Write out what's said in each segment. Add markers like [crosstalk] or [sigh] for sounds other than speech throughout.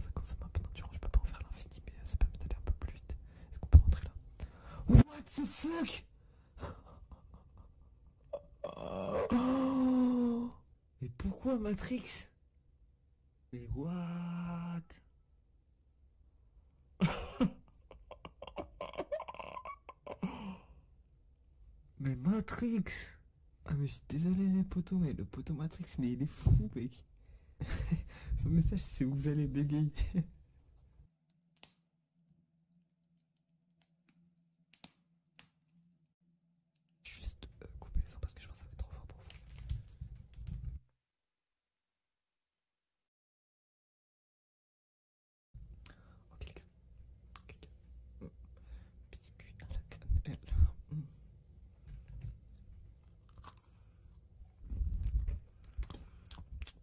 Ça consomme ça ma d'endurance, je peux pas en faire l'infini, mais ça permet d'aller un peu plus vite. Est-ce qu'on peut rentrer là What the fuck Et Mais pourquoi Matrix Mais what Mais Matrix ah mais je suis désolé les potos, mais le poteau Matrix, mais il est fou mec. Son [laughs] message c'est vous allez bégayer. [laughs] Juste euh, couper les sons parce que je pense que ça va être trop fort pour vous. Ok les Ok les gars. Biscuit à la cannelle.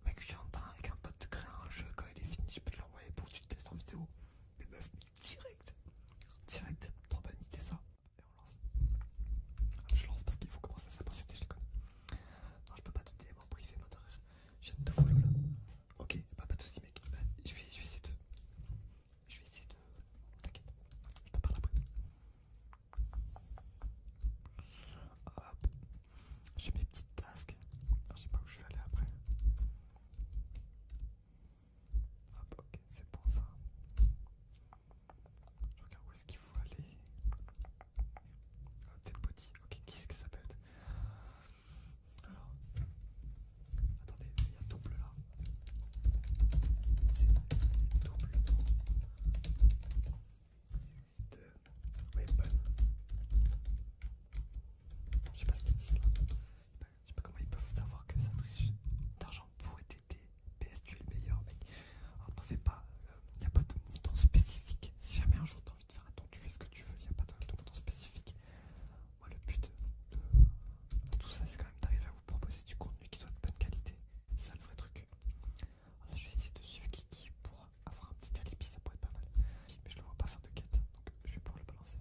Mec, j'entends avec un pote de créer un jeu, quand il est fini, je peux te l'envoyer pour que tu testes en vidéo. Mais meuf, direct, direct, trop banite ça. Et on lance. Ah, je lance parce qu'il faut commencer à s'impatienter, je les Non, je peux pas te débrouiller en privé, ma je viens de te follow là. Ok, bah, pas de soucis, mec. Bah, je, je vais essayer de. Je vais essayer de. T'inquiète, je te parle après. Hop, j'ai mes petites tasques. Je sais pas où je vais aller après. Hop, ok, c'est bon ça. regarde où est-ce qu'il faut aller. Oh, dead body, ok, qu'est-ce que ça peut être Alors, Attendez, il y a double là. C'est double De Weapon. Euh, je sais pas ce qu'ils disent là. Je sais pas comment ils peuvent savoir que ça triche. D'argent pour être PS, tu es le meilleur, mec. Alors t'en fais pas. Il euh, n'y a pas de montant spécifique. Si jamais un jour t'as envie de faire un tu fais ce que tu veux. Il n'y a pas de, montant spécifique. Moi, le but tout ça, c'est quand même d'arriver à proposer du contenu qui soit de bonne qualité. C'est ça le vrai truc. je vais essayer de suivre Kiki pour avoir un petit alibi, ça pourrait être pas mal. Mais je le vois pas faire de quête, donc je vais pouvoir le balancer.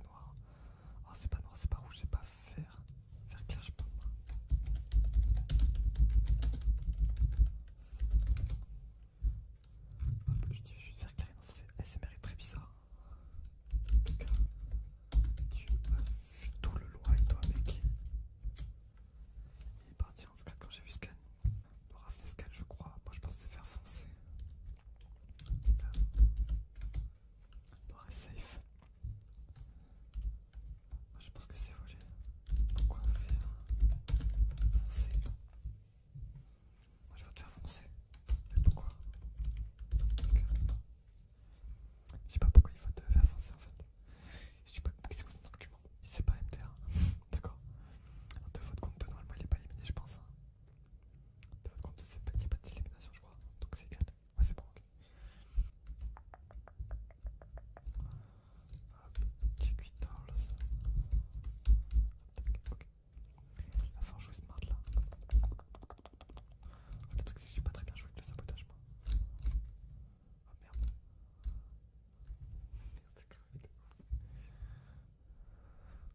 Noir. Oh, c'est pas noir, c'est pas rouge, c'est pas faire Vert clair, je dis, juste faire carrément c'est SMR est très bizarre. En tout cas, tu as vu tout le loin toi, mec. Il est parti en scan quand j'ai vu scan. Il aura fait scan, je crois. Moi, je pensais faire foncer. Là. est safe. Je pense que c'est volé. Pourquoi faire foncer Moi je vais te faire foncer. Mais pourquoi Je sais pas pourquoi il faut te faire foncer en fait. Je sais pas qu'est-ce que c'est un document. sait pas MTR. [laughs] D'accord. De votre compte de normalement il est pas éliminé je pense. De votre compte il n'y a pas d'élimination je crois. Donc c'est égal. Ouais c'est bon ok. Check 8 dollars. Ok. Enfin, jouer smart là. Le truc, c'est que j'ai pas très bien joué avec le sabotage, moi. Oh merde. Merde,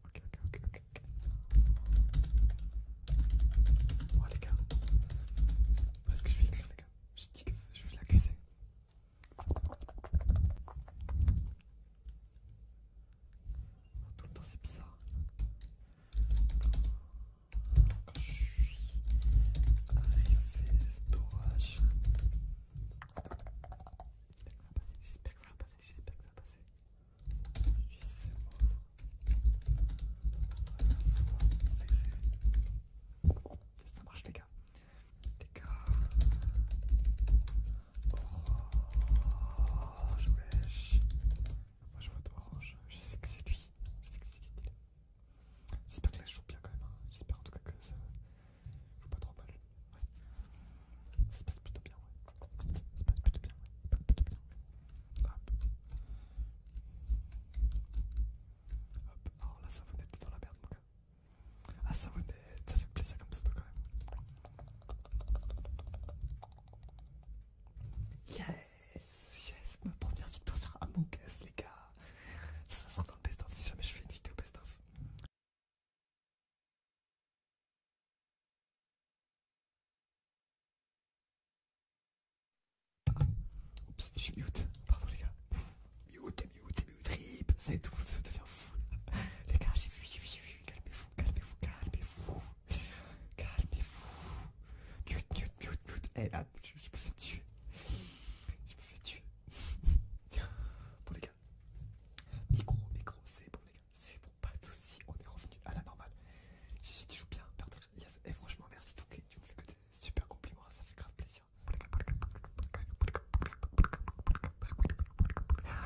Ok, ok, ok, ok. Ouais les gars. Est-ce que je suis clair les gars Je dis que je vais l'accuser. Oh, tout le temps c'est bizarre. je suis arrivé J'espère que ça va passer, j'espère que ça va passer. Ça marche les gars. Les je vois je sais que c'est lui. Je sais que c'est lui. J'espère que joue bien quand même. J'espère en tout cas que ça joue pas trop mal. Ça se passe plutôt bien, Hop, alors la savonnette est dans la merde mon gars. Ah ça savonnette, ça fait plaisir comme tout quand même. Yes, yes, ma première victoire sur Among Us les gars. Ça sera dans le best-of si jamais je fais une vidéo best-of. Oups, je suis mute. Pardon les gars. Mute, mute, mute, rip, Ça et tout, ça devient fou. Les gars, j'ai vu, j'ai vu, j'ai vu. Calmez-vous, calmez-vous, calmez-vous. Calmez-vous. Mute, mute, mute, mute. Eh là, je, me fais tuer. Je me fais tuer. bon les gars. Micro, micro, c'est bon les gars. C'est bon, pas de soucis. On est revenu à la normale. J'ai dit, tu bien, perdre. Et eh, franchement, merci Touquet. Tu me fais que des super compliments. Ça fait grave plaisir. Les Laetitia,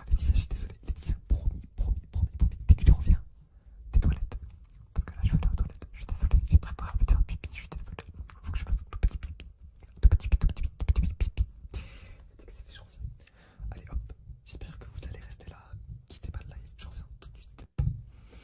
je suis désolé, Laetitia, promis, promis, promis, promis, dès que tu reviens des toilettes, parce que là je vais aller aux toilettes, je suis désolé, j'ai très peur à me faire pipi, je suis désolé, il faut que je fasse tout petit pipi, tout petit pipi, tout petit pipi, tout petit pipi, Dès que c'est fait, je reviens. Allez hop, j'espère que vous allez rester là, quittez pas de live, je reviens tout de suite.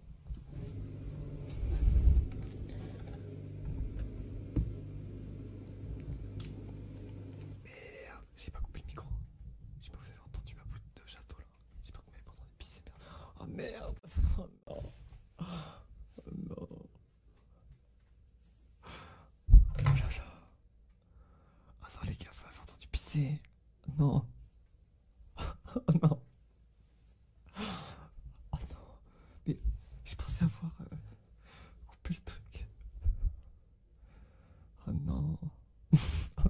Merde, j'ai pas coupé le micro. Je sais pas, vous avez entendu ma bout de château là. J'ai que vous m'avez pas entendu pisser, merde. Oh merde! [laughs] Oh non! Oh non! Oh la la Oh non, les gars, vous m'avez entendu pisser! Non! [laughs] Oh non! [gasps] Oh non, mais je pensais avoir euh, coupé le truc. Oh non. [laughs] oh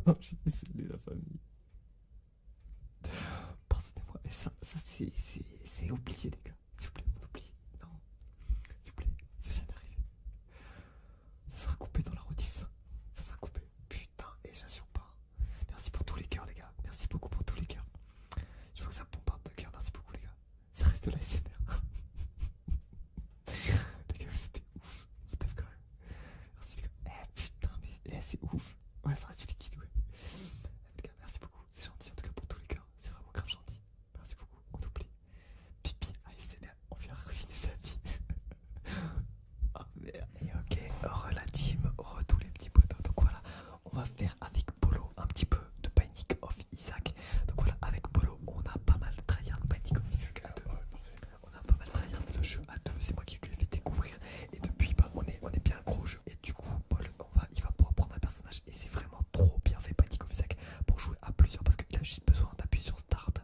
non, j'ai désolé la famille. Pardonnez-moi, mais ça, ça c'est oublié les gars. S'il vous plaît, on oublie. Non. S'il vous plaît, c'est jamais arrivé. Ça sera coupé dans la routine, ça. Ça sera coupé. Putain, et j'assure pas. Merci pour tous les cœurs, les gars. Merci beaucoup pour tous les cœurs. Je vois que ça bombarde de cœurs. Merci beaucoup, les gars. Ça reste de la [laughs] les gars, c'était ouf. Je t'aime quand même. Merci, les gars. Eh putain, mais eh, c'est ouf. Ouais, ça reste du liquide, ouais. Eh, les gars, merci beaucoup. C'est gentil en tout cas pour tous les cœurs. C'est vraiment grave gentil. Merci beaucoup. On t'oublie Pipi, ASMR, on vient ruiner sa vie. [laughs] oh merde. Et ok, relatim, la les petits potos Donc voilà, on va faire avec Polo un petit peu de Panic of Isaac. Donc voilà, avec Polo, on a pas mal tryhard Panic of Isaac à deux. On a pas mal tryhard le jeu à deux, c'est moi qui lui ai fait découvrir. Et depuis, bah, on, est, on est bien gros jeu. Et du coup, Paul, va, il va pouvoir prendre un personnage. Et c'est vraiment trop bien fait Panic of Isaac pour jouer à plusieurs parce qu'il a juste besoin d'appuyer sur Start.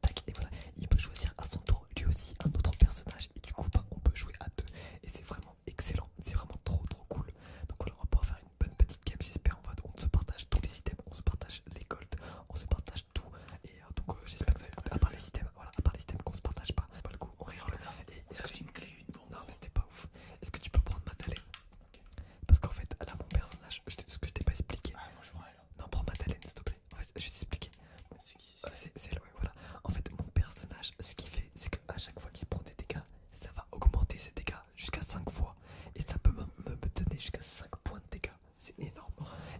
Tac, et voilà, il peut choisir à son tour lui aussi un autre personnage. Et du coup, bah, on peut jouer à deux. Et c'est vraiment excellent, c'est vraiment trop trop cool. Donc voilà, on va pouvoir faire une bonne petite game, j'espère. On, va, on se partage tous les items, on se partage les golds, on se partage tout. Et euh, donc euh, j'espère que vous avez, à part les items, voilà, à part les items qu'on se partage pas, pas le coup, on rire le Est-ce que j'ai une crée une bombe Non, c'était pas ouf. Est-ce que tu peux prendre ma Parce qu'en fait, là, mon personnage, ce que je t'ai pas expliqué. non ah, prends elle. Non, prends s'il te plaît. je vais t'expliquer c'est voilà. En fait, mon personnage, ce qu'il fait, c'est qu'à chaque fois qu'il se prend des dégâts, ça va augmenter ses dégâts jusqu'à 5 fois. Et ça peut me, me donner jusqu'à 5 points de dégâts. C'est énorme.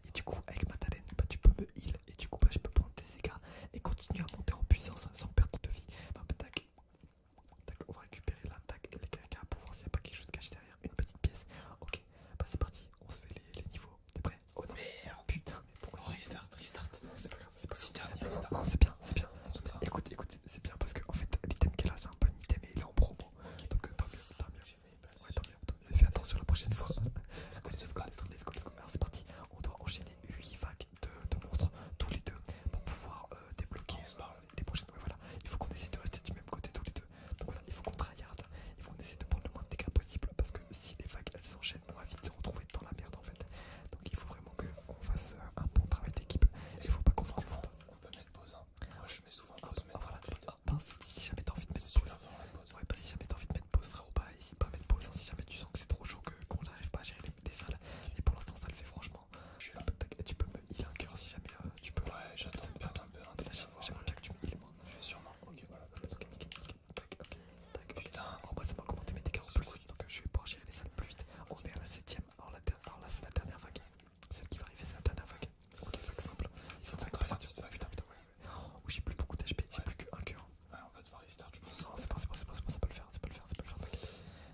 Et du coup, avec ma talent, bah, tu peux me heal. Et du coup, bah, je peux prendre des dégâts et continuer à monter en puissance sans perdre de vie. Bah, on va récupérer l'attaque. les caca pour voir s'il n'y a pas quelque chose caché derrière. Une petite pièce. Ok, bah c'est parti. On se fait les, les niveaux. T'es prêt Oh Merde. Putain, Restart, restart. C'est pas grave, c'est pas grave. c'est bien, c'est bien. Écoute, écoute, c'est bien parce que en fait, l'item qu'elle a, c'est un bon item et il est en promo. Donc tant mieux, tant mieux. tant mieux, Fais attention la prochaine fois. c'est parti, on doit enchaîner 8 vagues de, monstres tous les deux pour pouvoir euh, débloquer oh, les prochaines. voilà, il faut qu'on essaie de rester du même côté tous les deux. Donc voilà, il faut qu'on tryhard, il faut qu'on essaie de prendre le moins de dégâts possible parce que si les vagues elles s'enchaînent, on va vite se retrouver dans la merde en fait. Donc il faut vraiment qu'on fasse euh, un bon travail d'équipe. Il faut pas qu'on se confonde. On peut mettre pause. Hein. Moi je mets souvent pause. Ah, ah si, jamais t'as envie de mettre pause. pause. Ouais, bah, si jamais t'as envie de mettre pause, frérot, bah, n'hésite pas à mettre pause. Hein. si jamais tu sens que c'est trop chaud, qu'on n'arrive pas à gérer les, salles. Et pour l'instant, ça le fait franchement. Ah, bah, tu peux me heal un cœur si jamais euh, tu peux. Ouais, j'attends un peu. J'aimerais bien que tu me heal moi. Euh, je vais sûrement. Ok, voilà. Ok, nickel, nickel tac, ok, tac, putain. En ça m'a augmenté mes dégâts en plus, donc euh, je vais pouvoir gérer les salles plus vite. On est à la 7ème, alors, là, c'est la dernière vague. Celle qui va arriver, c'est la dernière vague. Ok, vague simple. Ils ont vague Ou oh, j'ai plus beaucoup d'HP, j'ai plus qu'un cœur. Ouais, on va devoir restart, tu penses. Non, c'est pas, c'est pas, c'est pas, c'est pas, le faire, c'est pas le faire, c'est pas le faire, t'inquiète.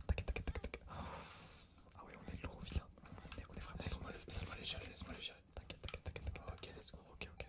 Tac, tac, tac, tac. Ah oui on est lourd, au On est, on est vraiment. Laisse-moi les gérer, laisse-moi les gérer. T'inquiète, t'inquiète, t'inquiète. Ok, let's go. Ok, ok.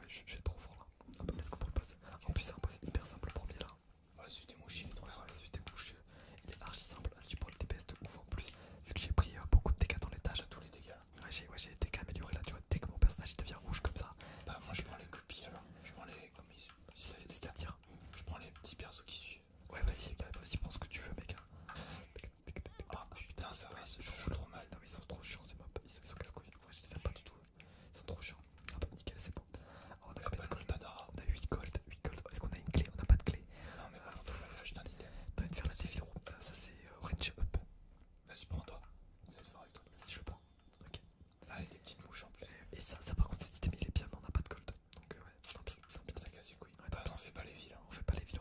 ah je, suis trop fort là. Ah, peut-être qu'on peut En plus, c'est un hyper simple le premier là. Ah, ouais, celui des mouches, il est trop simple. Ouais, celui des il est archi simple. Tu prends le DPS de ouf en plus. Vu que j'ai pris euh, beaucoup de dégâts dans l'étage. à tous les dégâts. Ouais, j'ai des dégâts améliorés là. Tu vois, dès que mon personnage devient rouge comme ça. Bah, moi je prends les copies là Je prends les. Comme si ça les Je prends les petits persos qui suivent. Ouais, vas-y, bah, vas-y, prends ce que tu veux, mec. Hein. Ah putain, ça je joue trop mal. ils trop chiants, Ils sont casse-couilles. Ouais, je les pas du tout. Ils trop chiants. Ah bah, nickel, c'est bon. Oh, on a 8 ah bah, gold. Est-ce qu'on a une clé On a pas de clé. Non, mais on trouve envie de faire le civil room. Euh, ça, c'est euh, range up. Vas-y, prends-toi. C'est je prends. Ok. il y a des petites mouches en plus. Et ça, par contre, il est bien, mais on a pas de gold. Donc, ouais, on fait pas les villes. Hein. On fait pas les villes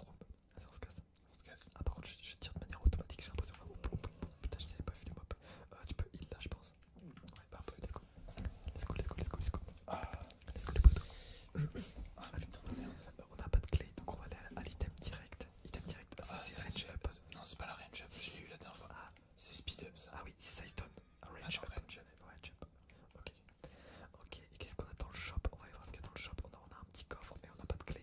se casse. casse. Ah, par contre, je, tire de manière automatique, j'ai l'impression. Oh, putain, je n'ai pas vu les mobs. tu peux heal là, je pense. Ouais, bah, let's go. Let's go, let's go, let's go, let's go. Ah. Let's go, les potos. Ah, euh, on n'a pas de clé, donc on va aller à, l'item direct. Item direct, ah, c'est range up. Non, c'est pas la range up, je l'ai eu la dernière fois. Ah. C'est speed up ça. Ah, oui, c'est Saiton. Ah, range, Ok. Ok, et qu'est-ce qu'on a dans le shop On va aller voir ce qu'il y a dans le shop. On a, on a un petit coffre, mais on n'a pas de clé.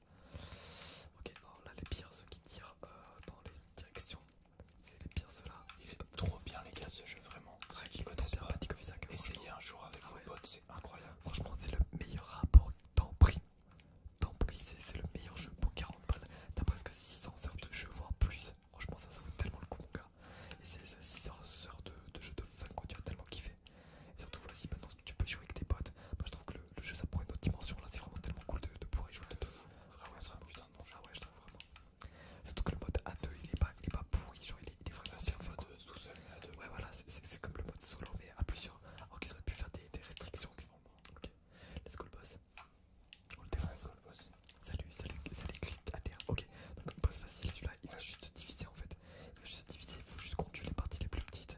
Ok, alors là les pires ceux qui tirent euh, dans les directions, c'est les pires ceux-là. Il est trop bien les gars ce jeu vraiment. Ceux qui connaissent essayez un jour avec ah vos potes, c'est incroyable. Franchement c'est le meilleur rapport temps prix. Temps prix c'est le meilleur jeu pour 40 balles. T'as presque 600 heures de jeu voire plus. Franchement ça, vaut tellement le coup mon gars. Et c'est 600 heures de, jeu de fun quand tu as tellement kiffé. Et surtout, voilà si maintenant tu peux y jouer avec tes potes. Moi, je trouve que le, jeu ça prend une autre dimension. Là, c'est vraiment tellement cool de, de pouvoir y jouer de deux. Ah ouais, c'est un putain de bon ah je trouve vraiment. Surtout que le mode A2 il est pas, il pas pourri, genre il est, il est vraiment. super un mode euh, tout seul, Ouais, voilà, c'est comme le mode solo, mais à plusieurs. Alors qu'ils auraient pu faire des, restrictions. Ok, let's go le boss. On le défend Let's go le boss. Salut, salut, salut, clique à terre. Ok, donc boss facile, celui-là il va juste diviser en fait. Il va juste diviser, il faut juste qu'on tue les parties les plus petites.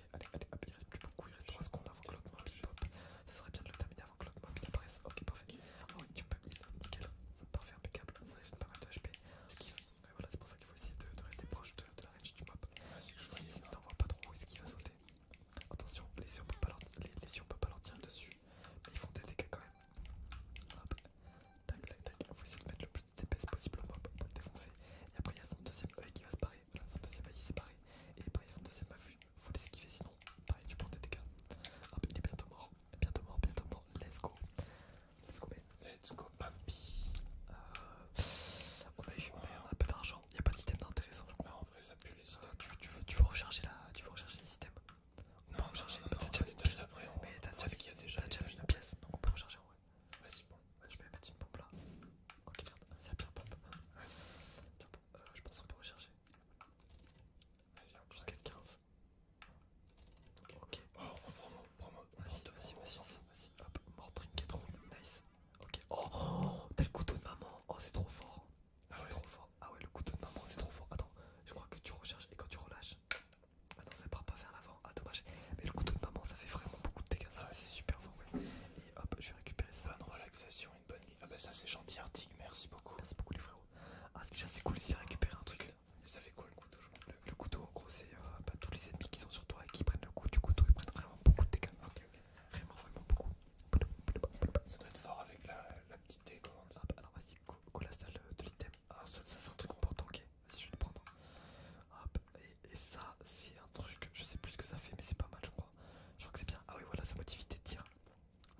allez, allez, hop, il reste plus beaucoup, il reste 3 secondes avant que l'autre pop. Ça serait bien de le terminer avant que l'autre mobile apparaisse. Ok, parfait. Ah oui, tu peux heal, nickel. Parfait, impeccable. Ça gêne pas mal de HP. ce qui voilà, c'est pour ça qu'il faut essayer de, de rester proche de, la range du mob. Ah, si en vois pas trop, est-ce qu'il va sauter Attention, les yeux on peut pas leur, les, pas leur tirer dessus. Mais ils font des dégâts quand même. Hop. Tac, tac, tac. Faut essayer de mettre le plus d'épaisse possible au mob pour le défoncer. Et après, il y a son deuxième œil qui va se barrer. Voilà, son deuxième magie séparé. Et pareil, son deuxième affût, faut l'esquiver sinon, pareil, tu prends des dégâts. Ah, il est bientôt mort, bientôt mort, bientôt mort. Let's go. Let's go, man. Let's go, papy. Euh, on a eu on a peu d'argent, il a pas d'item d'intéressant, je crois. Non, en vrai, ça pue les ah, items. tu, veux, tu veux recharger tu recharger les items. On non, peut non, recharger, non, non, déjà une pièce d'après. Mais t'as déjà, déjà une pièce, donc on peut recharger en vrai. Vas-y, bon, je vais mettre une pompe là. Ok, merde, y a Pierre euh, je pense qu'on peut rechercher. Vas-y, jusqu'à 15. Ok, ok. Oh, prends vas-y moi. on vas-y, vas-y. Hop, mort, trinket roule, nice. Ok, oh, t'as le couteau de maman. Oh, c'est trop fort. Ah ouais. trop fort. Ah ouais, le couteau de maman, c'est trop fort. Attends, je crois que tu recherches et quand tu relâches. attends ça part pas vers l'avant. Ah, dommage. Mais le couteau de maman, ça fait vraiment beaucoup de dégâts. Ça, c'est super fort, et hop, je vais récupérer ça. Bonne relaxation, une bonne nuit. Ah bah ça c'est gentil, Artig, merci beaucoup. Merci ah, beaucoup les frérots. Ah c'est déjà c'est cool si récupérer un truc. Ça fait quoi le couteau le, couteau en gros c'est euh, bah, tous les ennemis qui sont sur toi et qui prennent le coup du couteau, ils prennent vraiment beaucoup de dégâts. Vraiment vraiment beaucoup. Ça doit être fort avec la, petite dé, alors ah, bah, vas-y, go, la salle euh, de l'item. Ah, ah ça, c'est un truc pour ok Vas-y je vais le prendre. Hop, et ça c'est un truc, je sais plus ce que ça fait mais c'est pas mal je crois. Je crois que c'est bien. Ah oui, voilà, ça modifie tes tirs.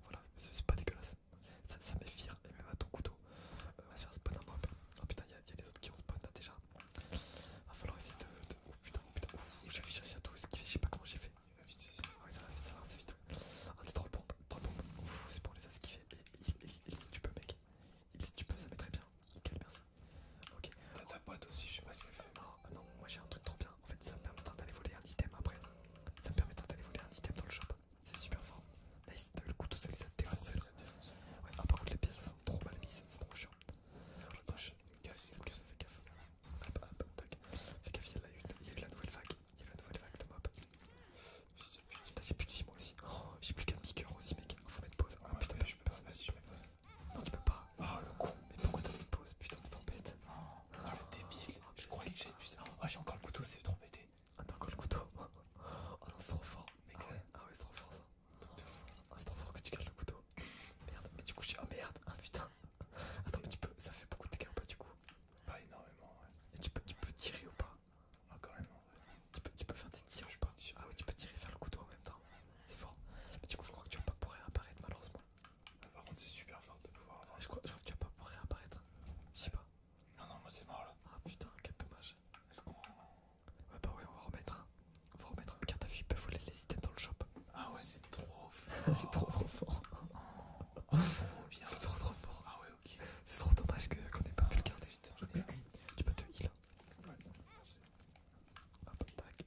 Voilà, c'est pas dégueulasse. Ça, ça m'effire et même à ton couteau. Euh, on va faire spawn un peu Oh putain, il y, a des autres qui ont spawn là déjà. Va falloir essayer de. Oh putain, oh putain, j'ai réussi à tout fait je sais pas comment j'ai fait. Ah oui ça va, ça va C'est vite. Ouais. Ah, t'es trop bon, trop bon. C'est bon, les les a esquivés. Et il, si tu peux, mec. Il si tu peux, ça met très bien. Nickel, merci. Ok. T'as ta boîte aussi, je sais pas ce qu'elle fait. Ah non, moi j'ai un truc trop bien. En fait, ça me permettra d'aller voler un item après. Ça me permettra d'aller voler un item dans le shop. C'est super fort. Nice, t'as vu le coup de les Ça défoncés. Ouais, ah, par contre, les pièces elles sont trop mal mises, c'est trop chiant. je casse, fais gaffe. Hop, hop, tac. Fais gaffe, il y, a eu, la nouvelle vague. Il y a la nouvelle vague de mob. J'ai plus de vie moi aussi. Oh, j'ai plus qu'un piqueur aussi, mec. Faut mettre pause. Ah putain, je peux pas. Vas-y, je mets pause. Non, tu peux pas. Oh le con. Mais pourquoi t'as une pause Putain, c'est trop bête. Oh, ah, ah, le débile. je croyais que j'avais plus. Oh, j'ai encore le couteau, c'est trop bête Ah, t'as encore le couteau [laughs] Oh non, c'est trop fort. Mec, ah, ouais. c'est trop fort ça. c'est trop fort que tu gardes le couteau. [laughs] merde, mais du coup, suis Ah merde, ah putain. [laughs] Attends, mais tu peux. Ça fait beaucoup de dégâts ou pas du coup Pas énormément, ouais. Et tu peux, tu peux tirer ou pas Ah, quand même, ouais. Tu peux, faire des tirs, je sais pas. Ah ouais, tu peux tirer et faire le couteau en même temps. C'est fort. Mais du coup, je crois que tu vas pas pouvoir malheureusement par contre, c'est super fort de le voir hein. Je crois, que tu vas pas pouvoir réapparaître. Je sais pas. Non, non, moi c'est mort là. Ah putain, quel dommage. Est-ce qu'on. Ouais, bah ouais, on va remettre. On va remettre une carte à fille, il peut voler les items dans le shop. Ah ouais, c'est trop [laughs] fort. c'est trop trop fort. c'est oh, trop bien. C'est trop trop fort. Ah ouais, ok. C'est trop dommage qu'on ait n'ait pas ah, pu le garder. Ah, tu peux te heal. Ouais, Hop, tac.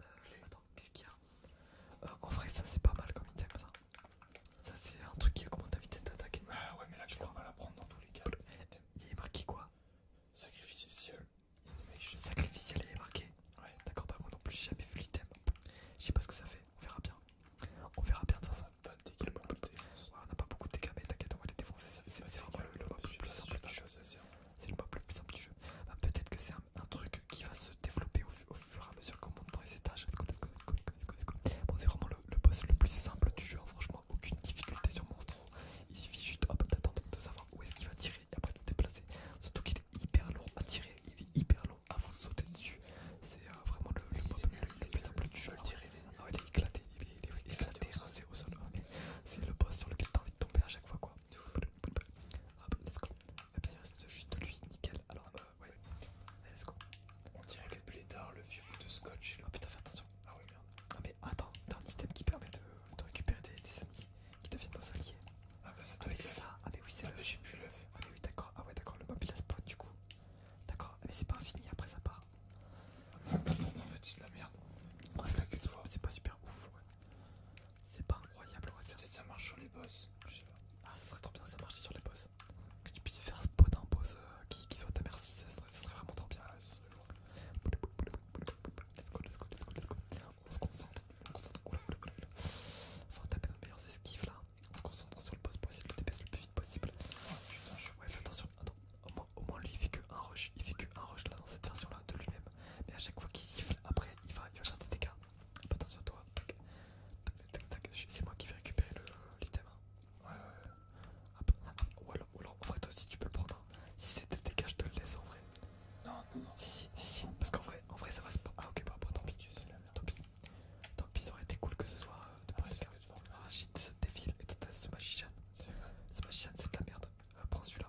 euh, attends, qu'est-ce qu'il y a euh, En vrai, ça c'est pas mal comme item ça. Ça c'est un truc qui augmente la vitesse d'attaquer Ah ouais, mais là je crois pas la prendre dans tous les cas. Il est marqué quoi Sacrificiel. Sacrificiel, il est marqué. Ouais. D'accord, pas moi non plus, j'ai jamais vu l'item. Je sais pas ce que ça fait, on verra bien. On verra bien de toute façon. On n'a pas ouais, on a pas beaucoup de dégâts, mais t'inquiète, on va les défoncer. C'est vraiment le, plus simple. pas, c'est le mob le plus simple du jeu. Bah, peut-être que c'est un, truc qui va se développer au, fur et à mesure qu'on monte dans les étages. Bon, c'est vraiment le, boss le plus simple du jeu. Hein. Franchement, aucune difficulté sur Monstro. Il suffit juste d'attendre de savoir où est-ce qu'il va tirer et après de se déplacer. Surtout qu'il est hyper lourd à tirer, il est hyper lourd à vous sauter dessus. C'est euh, vraiment le, mob, le, plus simple du jeu. il, hein. est... Ah il est éclaté, il est, il hein. au sol. C'est le boss sur lequel t'as envie de tomber à chaque fois. Quoi. Ah Hop, let's go. Et eh bien il reste juste lui, nickel. Alors, ouais. Euh, ouais. Allez, let's go. On dirait que plus tard le vieux bout de scotch. Là. Oh putain, fais attention. Ah oui, merde. Non, ah, mais attends, t'as un item qui permet de, récupérer des, amis qui deviennent nos alliés. Ah bah ça ah, doit ah, être ça. Ah, mais oui, c'est ah, bah, j'ai plus l'œuf. Ah, mais oui, d'accord. Ah, ouais, d'accord, le mobile spawn du coup. D'accord, mais c'est pas infini après ça part. non, fait, c'est de la merde. c'est pas super ouf, c'est pas incroyable, on va dire. Peut-être ça marche sur les boss. Je sais pas. Ah, ça serait trop bien ça marche sur les boss. Que tu puisses faire spawn un boss euh, qui, soit à ta merci, ça serait, vraiment trop bien. Let's go, let's go, let's go, On se concentre, on se concentre. Oula, oula, oula. Faut taper nos meilleurs esquives là. On se concentre sur le boss possible, le DPS le plus vite possible. Ah, putain, je... Ouais, fais attention. Attends, au moins, au moins lui il fait que un rush. Il fait que un rush là dans cette version là de lui-même. Mais à chaque fois qu'il siffle, après il va, il va faire des dégâts. attention à toi. Tac, tac, tac, C'est moi qui vais récupérer l'item. Hein. Ouais, ouais. Hop. Ah, ou, alors, en vrai, toi aussi tu peux le prendre. Hein. Si c'est des dégâts, je te le laisse en vrai. Non, non, Si, si, si. si. Parce qu'en vrai, en vrai, ça va se prendre. Ah, ok, bah, bah tant pis. Tant pis. Tant pis, ça aurait été cool que ce soit euh, de ah, près. Hein. Ah, shit, ce défile et toi à ce Magician Ce magicien, c'est de la merde. Euh, prends celui-là.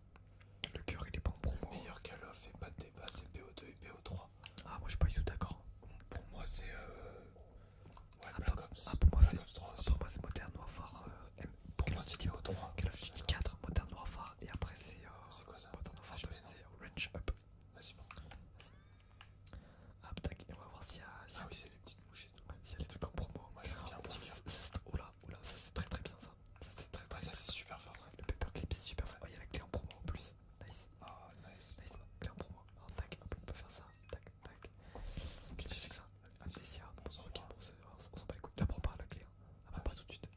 Le cœur il est pas en promo. Hein. Meilleur Call of et pas de débat, c'est PO2 et PO3. Ah, moi je suis pas du tout d'accord. Pour moi, c'est. Euh... Ouais, la ah, Black Ops. Ah, ah pour moi, c'est Modern Warfare. Euh, M... Pour moi, c'est PO3. Call of 4, Modern Warfare, et après, c'est. Euh, c'est quoi ça Modern Warfare, c'est Range Up. Vas-y, bon. Vas-y. Hop tac, et on va voir si Si ah, oui, c'est les petites mouches. Si il y a des trucs en promo. Moi, je suis bien. Oh là, ça c'est très très bien. ça ça. C'est très très ça c'est super fort Le paperclip c'est super fort. Oh, il y a la clé en promo en plus. Nice. Oh, nice. Clé en promo. Oh, tac, on peut faire ça. Tac, tac. quest que j'ai fait ça Amnésia. Ah, ah, bon, ok, on s'en bat les couilles. La promo pas la clé. Ah, pas tout de suite.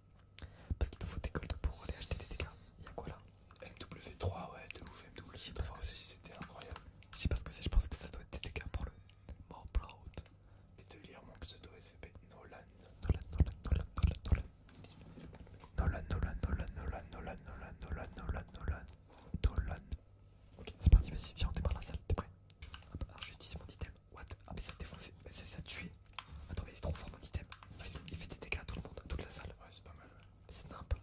Parce qu'il nous faut des golds pour aller acheter des dégâts. Il y a quoi là MW3, ouais, de ouf, MW3. Je sais pas ce que c'est, c'était incroyable. Je sais pas ce que c'est, je pense que ça doit être des dégâts pour le proud Et de lire mon pseudo SVP Nolan. Nolan, Nolan, Nolan, Nolan, Nolan, Nolan, Nolan, Nolan, Nolan, Nolan, Nolan, Nolan, Nolan, Nolan, Nolan. Ok, c'est parti, vas-y, viens, on démarre la salle, t'es prêt Ah je dis mon item. What Ah, mais ça a défoncé, mais ça les Attends, mais il est trop fort mon item. Il fait, des dégâts à tout le monde, à toute la salle. Ouais, c'est pas mal. Mais c'est nimp.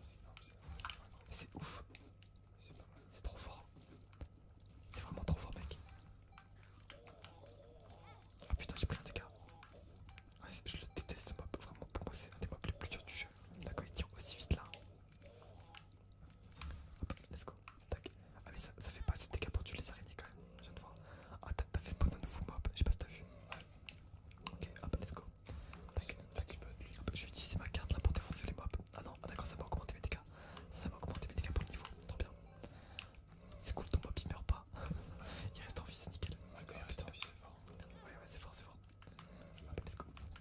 c'est C'est ouf. C'est pas mal. C'est trop fort. C'est vraiment trop fort, mec. Ah putain, j'ai pris un dégât. je le déteste ce mob, vraiment pour moi c'est un des mobs les plus durs du jeu. D'accord, il tire aussi vite là. let's go. Ah, mais ça, fait pas assez de dégâts pour tuer les araignées quand même, je viens de Ah, t'as fait spawn un nouveau mob, je sais pas si t'as vu. Ok, hop, let's go. je vais utiliser ma carte là pour défoncer les mobs. Ah non, ah, d'accord, ça va augmenter mes dégâts. Ça va augmenter mes dégâts pour le niveau, trop bien. C'est cool, ton papi meurt pas. [laughs] il reste en vie, c'est nickel. Ah, quand il reste en vie, c'est fort. Ouais, ouais, c'est fort, c'est fort.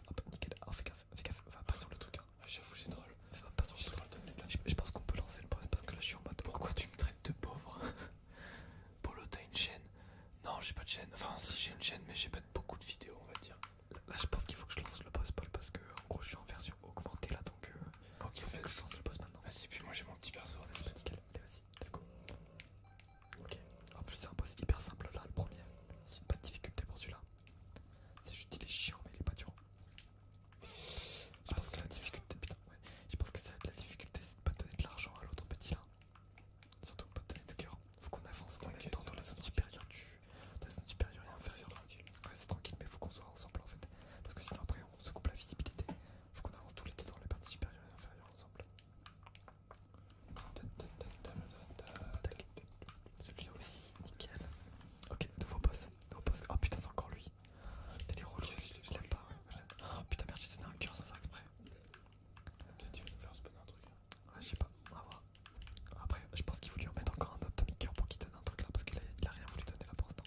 Hop, nickel. ah fais gaffe, fais gaffe, va pas sur le truc. Hein. Ah, j'avoue, j'ai drôle Va sur le hein. Je, pense qu'on peut lancer le boss parce que là je suis en mode. Pourquoi tu me traites de pauvre [laughs] Polo, t'as une chaîne Non, j'ai pas de chaîne. Enfin, si j'ai une chaîne, mais j'ai pas beaucoup de vidéos, on va dire. Là, je pense qu'il faut que je lance le boss, Paul, parce que en gros je suis en version augmentée là donc. Euh, Ok, fait y je le boss maintenant. Vas-y, puis moi j'ai mon petit perso. Vas-y, nickel. Allez, vas-y, let's go. Ok, en plus, c'est un boss hyper simple là, le premier. Pas de difficulté pour celui-là. C'est juste il est chiant, mais il est pas dur. Je pense ah, que la difficulté, putain, Je pense que c'est la difficulté, c'est de pas donner de l'argent à l'autre petit là. Surtout pas donner de cœur. Faut qu'on avance quand est dans la zone supérieure du. Dans la zone supérieure et ah, inférieure. Ouais, c'est tranquille, mais faut qu'on soit ensemble en fait. Parce que sinon après on se coupe la visibilité. Faut qu'on avance tous les deux dans les parties supérieures et inférieures ensemble. Celui-là aussi, nickel. Ok, nouveau boss. Nouveau boss. Oh putain, c'est encore lui. T'as les rôles, je l'aime pas. Oh putain, merde, j'ai donné un cœur sans faire exprès. Peut-être tu veux nous faire spawner un truc. Hein. Ouais, je sais pas, on va voir. Après, je pense qu'il voulait en mettre encore un autre Tommy Cœur pour qu'il donne un truc là parce qu'il a, a rien voulu donner là pour l'instant.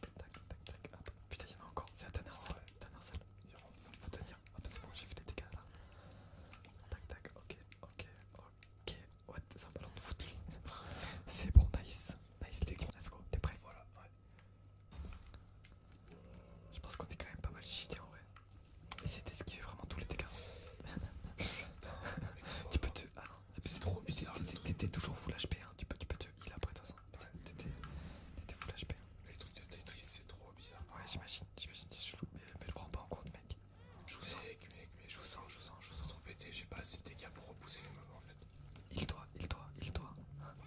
Tac, tac, tac. Putain, il y en a encore. C'est la dernière salle. Ouais. Dernière salle. On peut tenir. Ah, bah, c'est bon, j'ai fait les dégâts là. Tac, tac. Ok, ok, ok. What C'est un ballon de foot lui. [laughs] C'est bon, nice. Nice, les gros. Let's go. T'es prêt Voilà, ouais. Je pense qu'on est quand même pas mal cheaté en vrai. Et c'est fait vraiment tous les dégâts. [laughs] tu peux te. Ah non, c'est trop bizarre. t'es toujours full HP, hein. tu peux, tu peux il a après, de ça. t'étais full HP. Hein. Les trucs de Tetris, c'est trop bizarre. Ouais, j'imagine, j'imagine, c'est chelou. Mais, mais le prends pas en compte, mec. Je vous sens. Mec, mec, mais je vous sens, je sens, je trop pété. J'ai pas assez de dégâts pour repousser les moment en fait. Il doit, il doit, il doit. [laughs]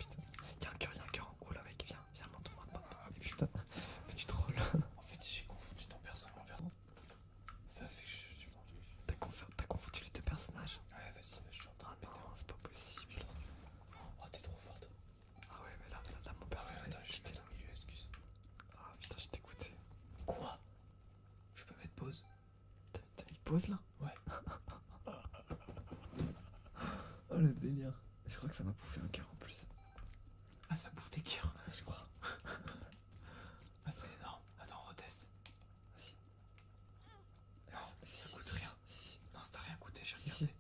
Il y y'a un cœur, y'a un cœur en haut là, mec. Viens, viens, monte, monte, Ah, ah putain, [laughs] tu En fait, j'ai confondu ton perso en perso Ça fait que je suis T'as confondu, les deux personnages Ouais, vas-y, je suis en train de Ah non, c'est pas possible. Oh, t'es trop toi Ah ouais, mais là, là, mon personnage. J'étais dans le milieu, excuse. Ah putain, je t'écoutais. Quoi Je peux mettre pause T'as mis pause là Ouais. [laughs] oh le délire. Je crois que ça m'a bouffé un cœur en plus. Ah, ça bouffe tes cœurs, ouais, je crois. [laughs] ah, c'est énorme. Attends, reteste. Vas-y. Non, ça coûte rien. non, ça t'a rien coûté, j'ai regardé.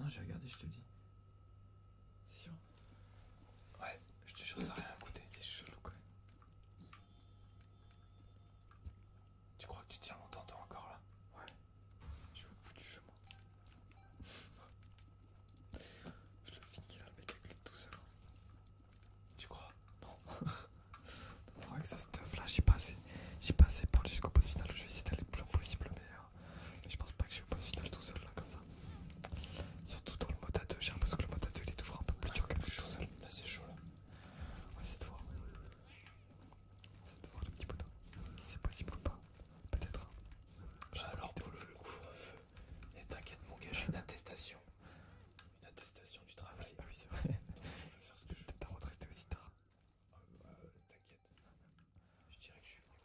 Non, j'ai regardé, je te le dis. C'est sûr Ouais, je te jure, ça n'a rien coûté. C'est chelou quand même. Tu crois que tu tiens longtemps, toi, encore là Ouais. Je vais au bout du chemin. je le finis là, le mec, avec tout ça. Tu crois Non. non [laughs] que ce stuff là, j'ai pas assez, pour aller jusqu'au poste final. Je vais essayer d'aller le plus loin possible, euh, mais, je pense pas que je vais au poste final tout seul là comme ça. Surtout dans le mode A2, j'ai l'impression que le mode A2 il est toujours un peu plus dur que tout seul. Là c'est chaud là. Ouais c'est de voir. C'est de voir le petit Si C'est possible ou pas. Peut-être. Hein. J'ai bah Alors pour le, le couvre-feu. Et t'inquiète mon gars, j'ai une attestation une attestation du travail. Ah oui, c'est vrai. je pas retraité aussi tard. Ah, euh, bah, euh, t'inquiète. Je dirais que je suis venu